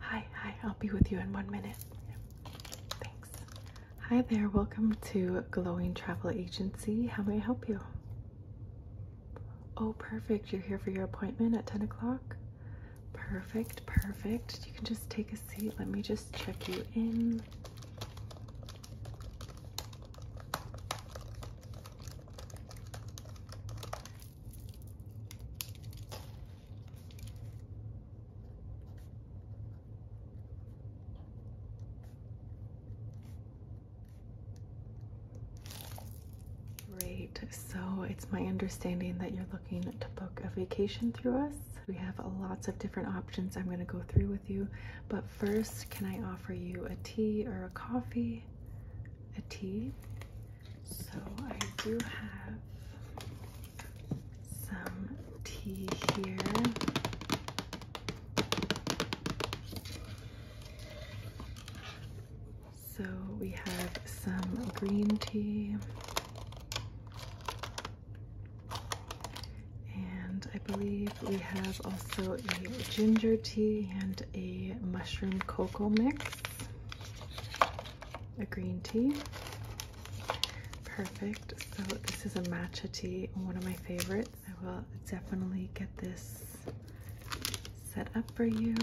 Hi, hi, I'll be with you in one minute. Thanks. Hi there, welcome to Glowing Travel Agency. How may I help you? Oh, perfect. You're here for your appointment at 10 o'clock? Perfect, perfect. You can just take a seat. Let me just check you in. Great. So it's my understanding that you're looking to book a vacation through us. We have lots of different options I'm going to go through with you, but first, can I offer you a tea or a coffee? A tea. So I do have some tea here. So we have some green tea. And I believe we have also a ginger tea and a mushroom cocoa mix, a green tea. Perfect. So this is a matcha tea, one of my favorites. I will definitely get this set up for you.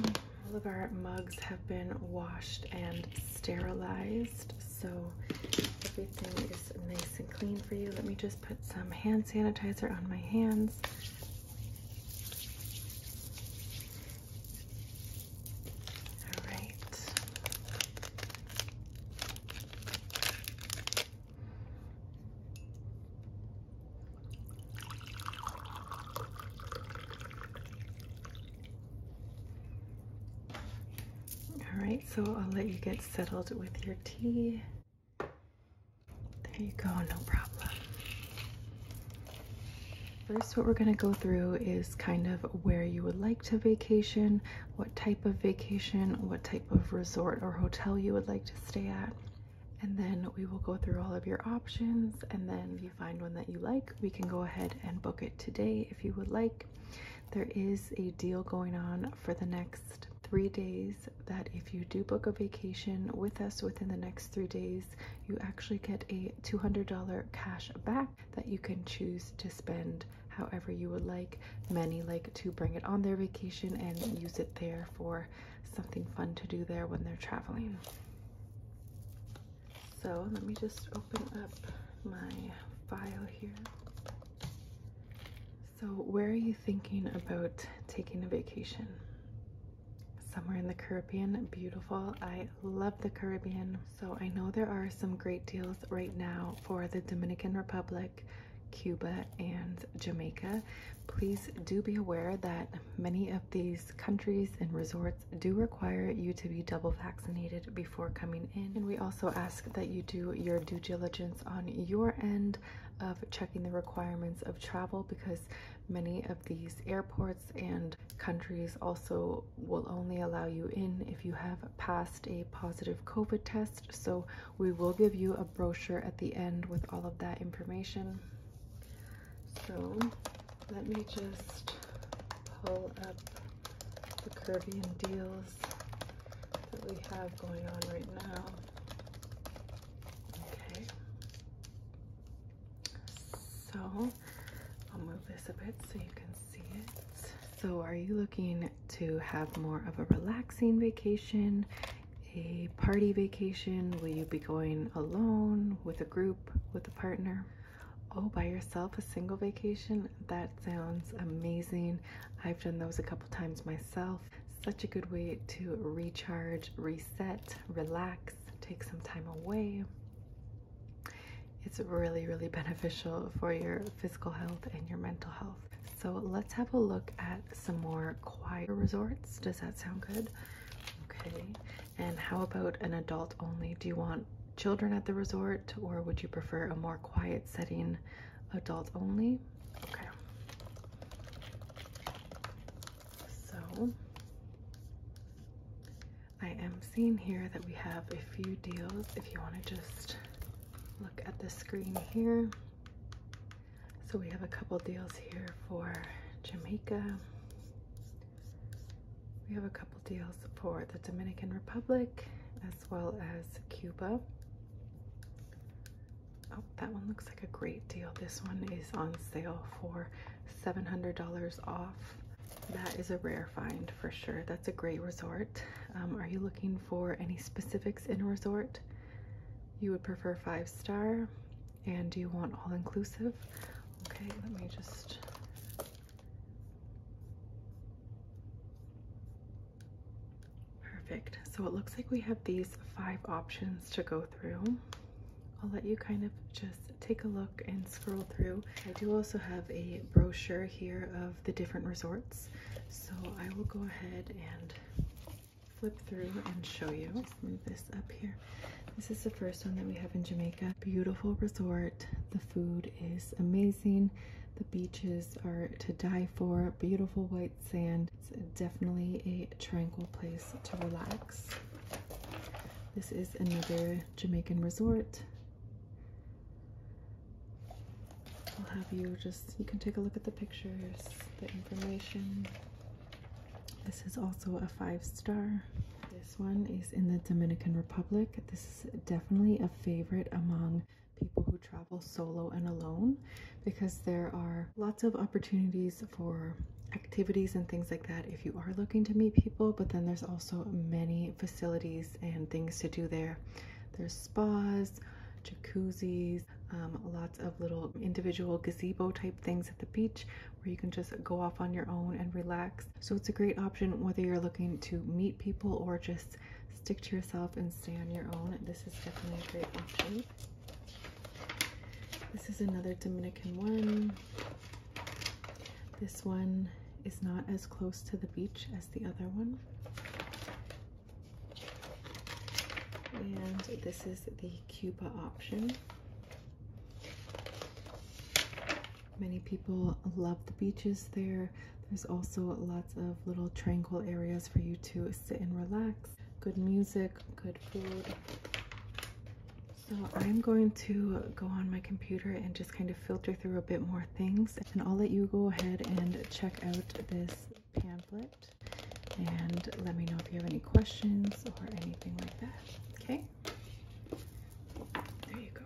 All of our mugs have been washed and sterilized, so everything is nice and clean for you. Let me just put some hand sanitizer on my hands. All right. All right, so I'll let you get settled with your tea. There you go, no problem. First, what we're gonna go through is kind of where you would like to vacation, what type of vacation, what type of resort or hotel you would like to stay at. And then we will go through all of your options. And then if you find one that you like, we can go ahead and book it today if you would like. There is a deal going on for the next three days that if you do book a vacation with us within the next three days, you actually get a $200 cash back that you can choose to spend however you would like. Many like to bring it on their vacation and use it there for something fun to do there when they're traveling. So let me just open up my file here. So, where are you thinking about taking a vacation? Somewhere in the Caribbean, beautiful. I love the Caribbean. So, I know there are some great deals right now for the Dominican Republic, Cuba, and Jamaica. Please do be aware that many of these countries and resorts do require you to be double vaccinated before coming in. And we also ask that you do your due diligence on your end of checking the requirements of travel because many of these airports and countries also will only allow you in if you have passed a positive COVID test. So, we will give you a brochure at the end with all of that information. So, let me just pull up the Caribbean deals that we have going on right now. Okay. So I'll move this a bit so you can see it. So are you looking to have more of a relaxing vacation, a party vacation? Will you be going alone, with a group, with a partner? Oh, by yourself, a single vacation? that sounds amazing i've done those a couple times myself such a good way to recharge reset relax take some time away it's really really beneficial for your physical health and your mental health so let's have a look at some more quiet resorts does that sound good okay and how about an adult only do you want children at the resort or would you prefer a more quiet setting adult only. Okay. So I am seeing here that we have a few deals. If you want to just look at the screen here. So we have a couple deals here for Jamaica. We have a couple deals for the Dominican Republic as well as Cuba. Oh, that one looks like a great deal. This one is on sale for $700 off. That is a rare find for sure. That's a great resort. Um, are you looking for any specifics in a resort? You would prefer five star and do you want all inclusive? Okay, let me just Perfect. So it looks like we have these five options to go through. I'll let you kind of just take a look and scroll through. I do also have a brochure here of the different resorts. So I will go ahead and flip through and show you. move this up here. This is the first one that we have in Jamaica. Beautiful resort. The food is amazing. The beaches are to die for, beautiful white sand. It's definitely a tranquil place to relax. This is another Jamaican resort. I'll have you just, you can take a look at the pictures, the information. This is also a five star. This one is in the Dominican Republic. This is definitely a favorite among people who travel solo and alone because there are lots of opportunities for activities and things like that if you are looking to meet people but then there's also many facilities and things to do there there's spas jacuzzis um, lots of little individual gazebo type things at the beach where you can just go off on your own and relax so it's a great option whether you're looking to meet people or just stick to yourself and stay on your own, this is definitely a great option. This is another Dominican one. This one is not as close to the beach as the other one. And this is the Cuba option. Many people love the beaches there. There's also lots of little tranquil areas for you to sit and relax. Good music, good food. So I'm going to go on my computer and just kind of filter through a bit more things. And I'll let you go ahead and check out this pamphlet and let me know if you have any questions or anything like that. Okay? There you go.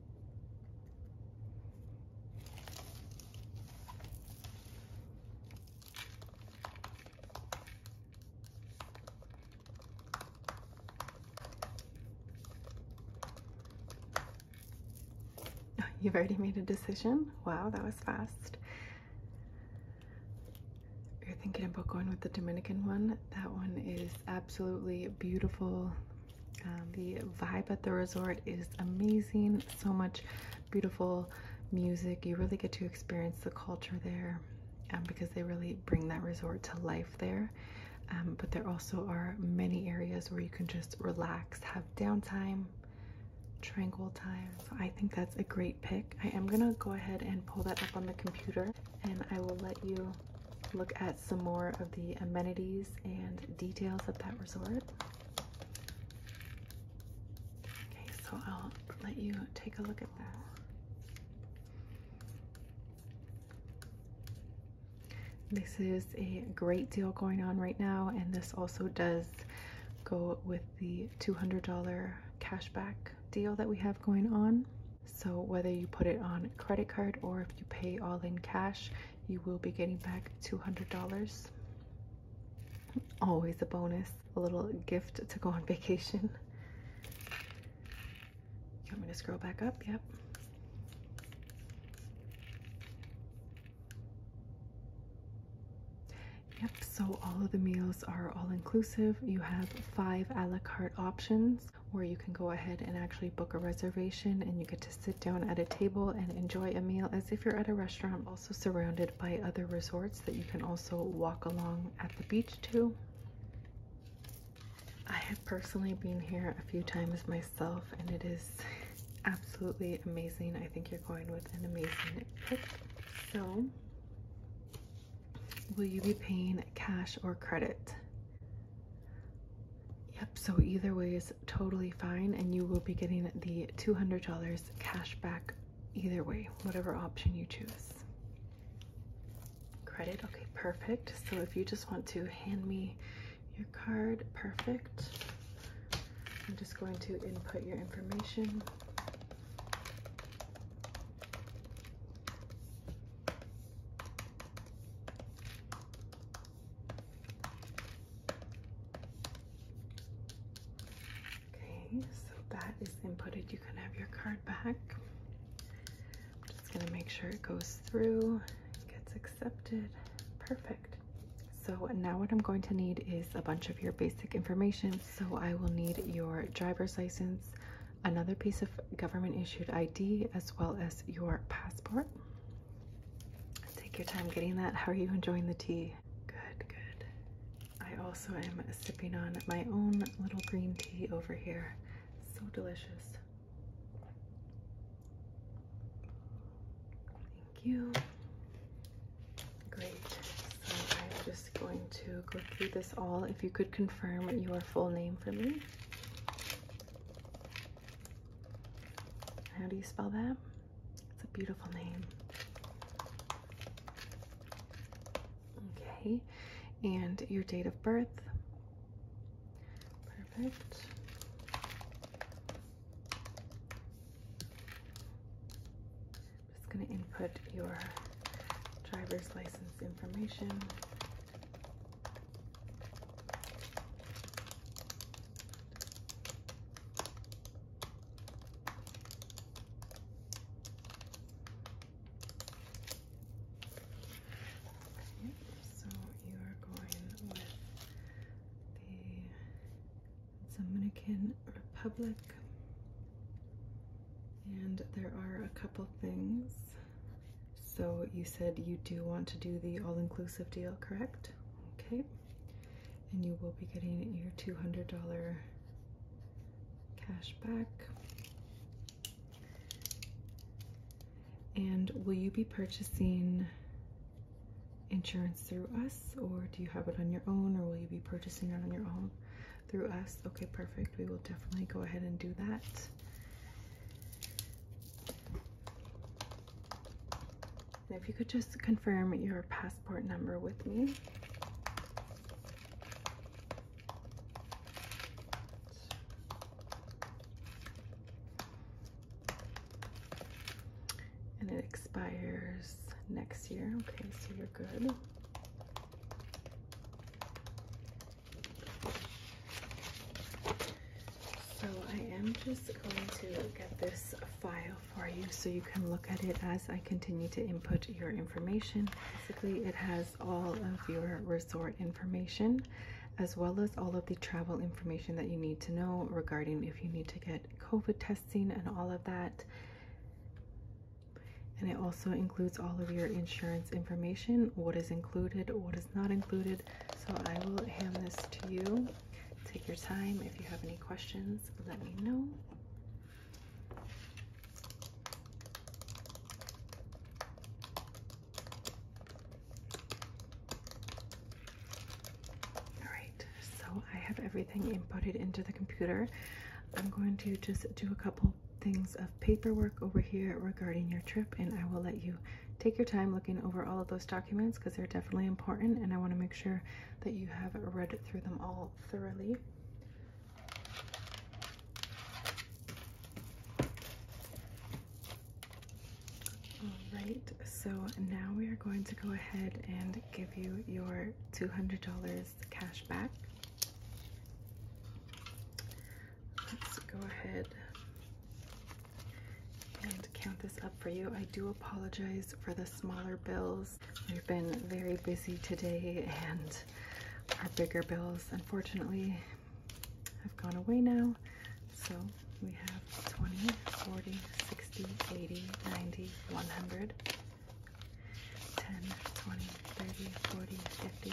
You've already made a decision? Wow, that was fast. You're thinking about going with the Dominican one. That one is absolutely beautiful, um, the vibe at the resort is amazing. So much beautiful music. You really get to experience the culture there um, because they really bring that resort to life there. Um, but there also are many areas where you can just relax, have downtime, tranquil time. So I think that's a great pick. I am going to go ahead and pull that up on the computer and I will let you look at some more of the amenities and details of that resort. Okay, so I'll let you take a look at that. This is a great deal going on right now, and this also does go with the $200 cashback deal that we have going on. So whether you put it on credit card or if you pay all in cash, you will be getting back $200. Always a bonus, a little gift to go on vacation. You want me to scroll back up? Yep. Yep, so all of the meals are all inclusive. You have five a la carte options where you can go ahead and actually book a reservation and you get to sit down at a table and enjoy a meal as if you're at a restaurant, also surrounded by other resorts that you can also walk along at the beach to. I have personally been here a few times myself and it is absolutely amazing. I think you're going with an amazing pick. So, will you be paying cash or credit? Yep, so either way is totally fine, and you will be getting the $200 cash back either way, whatever option you choose. Credit, okay, perfect. So if you just want to hand me your card, perfect. I'm just going to input your information. Okay, so that is inputted. You can have your card back. just going to make sure it goes through, gets accepted. Perfect. So now what I'm going to need is a bunch of your basic information. So I will need your driver's license, another piece of government issued ID, as well as your passport. Take your time getting that. How are you enjoying the tea? Good, good. I also am sipping on my own little green tea over here. So delicious. Thank you. Great. So I'm just going to go through this all. If you could confirm your full name for me. How do you spell that? It's a beautiful name. Okay, and your date of birth. Perfect. just going to input your driver's license information so you are going with the Dominican Republic, and there are a couple things so you said you do want to do the all-inclusive deal, correct? Okay. And you will be getting your $200 cash back. And will you be purchasing insurance through us or do you have it on your own or will you be purchasing it on your own through us? Okay, perfect. We will definitely go ahead and do that if you could just confirm your passport number with me. And it expires next year. Okay, so you're good. So I am just going to get this file for you so you can look at it as I continue to input your information. Basically, it has all of your resort information as well as all of the travel information that you need to know regarding if you need to get COVID testing and all of that. And it also includes all of your insurance information, what is included, what is not included, so I will hand this to you. Take your time. If you have any questions, let me know. Alright, so I have everything inputted into the computer. I'm going to just do a couple things paperwork over here regarding your trip, and I will let you take your time looking over all of those documents because they're definitely important, and I want to make sure that you have read through them all thoroughly. Alright, so now we are going to go ahead and give you your $200 cash back. Let's go ahead and count this up for you. I do apologize for the smaller bills. We've been very busy today and our bigger bills, unfortunately, have gone away now. So we have 20, 40, 60, 80, 90, 100, 10, 20, 30, 40, 50,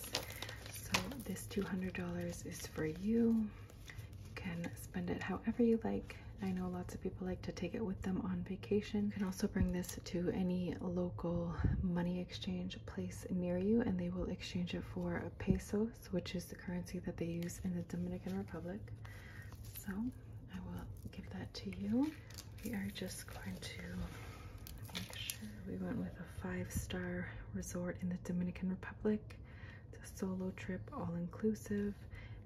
So this $200 is for you. You can spend it however you like. I know lots of people like to take it with them on vacation. You can also bring this to any local money exchange place near you and they will exchange it for pesos, which is the currency that they use in the Dominican Republic. So I will give that to you. We are just going to make sure we went with five-star resort in the Dominican Republic. It's a solo trip, all-inclusive.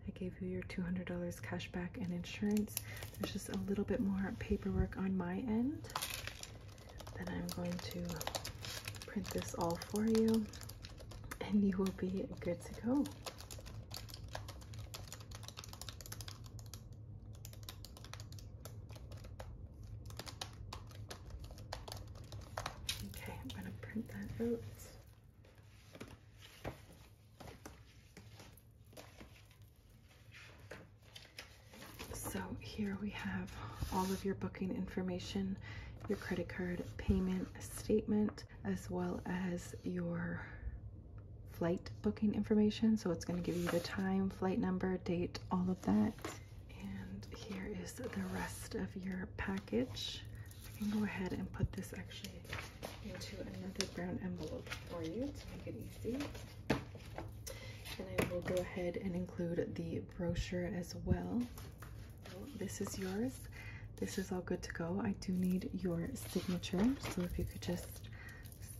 I gave you your $200 cash back and insurance. There's just a little bit more paperwork on my end. Then I'm going to print this all for you and you will be good to go. Okay, I'm going to print that out. So here we have all of your booking information, your credit card payment statement, as well as your flight booking information. So it's going to give you the time, flight number, date, all of that. And here is the rest of your package. I can go ahead and put this actually into another brown envelope for you to make it easy. And I will go ahead and include the brochure as well. this is yours. This is all good to go. I do need your signature. So if you could just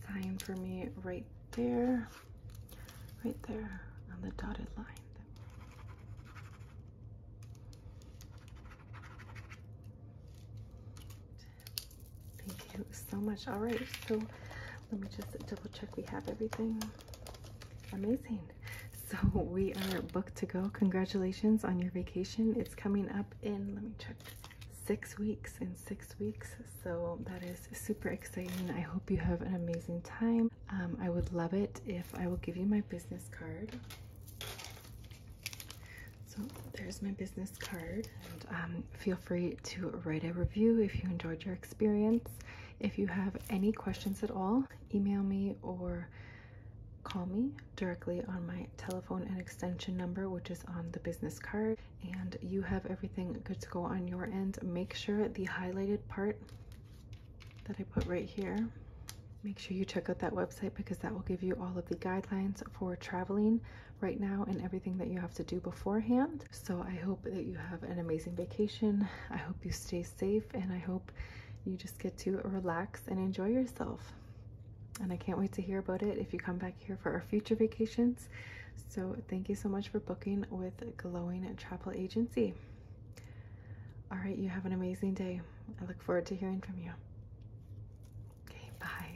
sign for me right there right there on the dotted line. Thank you so much. All right, so let me just double check we have everything. Amazing. So we are booked to go. Congratulations on your vacation. It's coming up in, let me check, six weeks. In six weeks, so that is super exciting i hope you have an amazing time um, i would love it if i will give you my business card so there's my business card and um, feel free to write a review if you enjoyed your experience if you have any questions at all email me or call me directly on my telephone and extension number which is on the business card and you have everything good to go on your end. Make sure the highlighted part that I put right here, make sure you check out that website because that will give you all of the guidelines for traveling right now and everything that you have to do beforehand. So I hope that you have an amazing vacation. I hope you stay safe and I hope you just get to relax and enjoy yourself. And I can't wait to hear about it if you come back here for our future vacations so thank you so much for booking with Glowing Travel Agency. All right, you have an amazing day. I look forward to hearing from you. Okay, bye.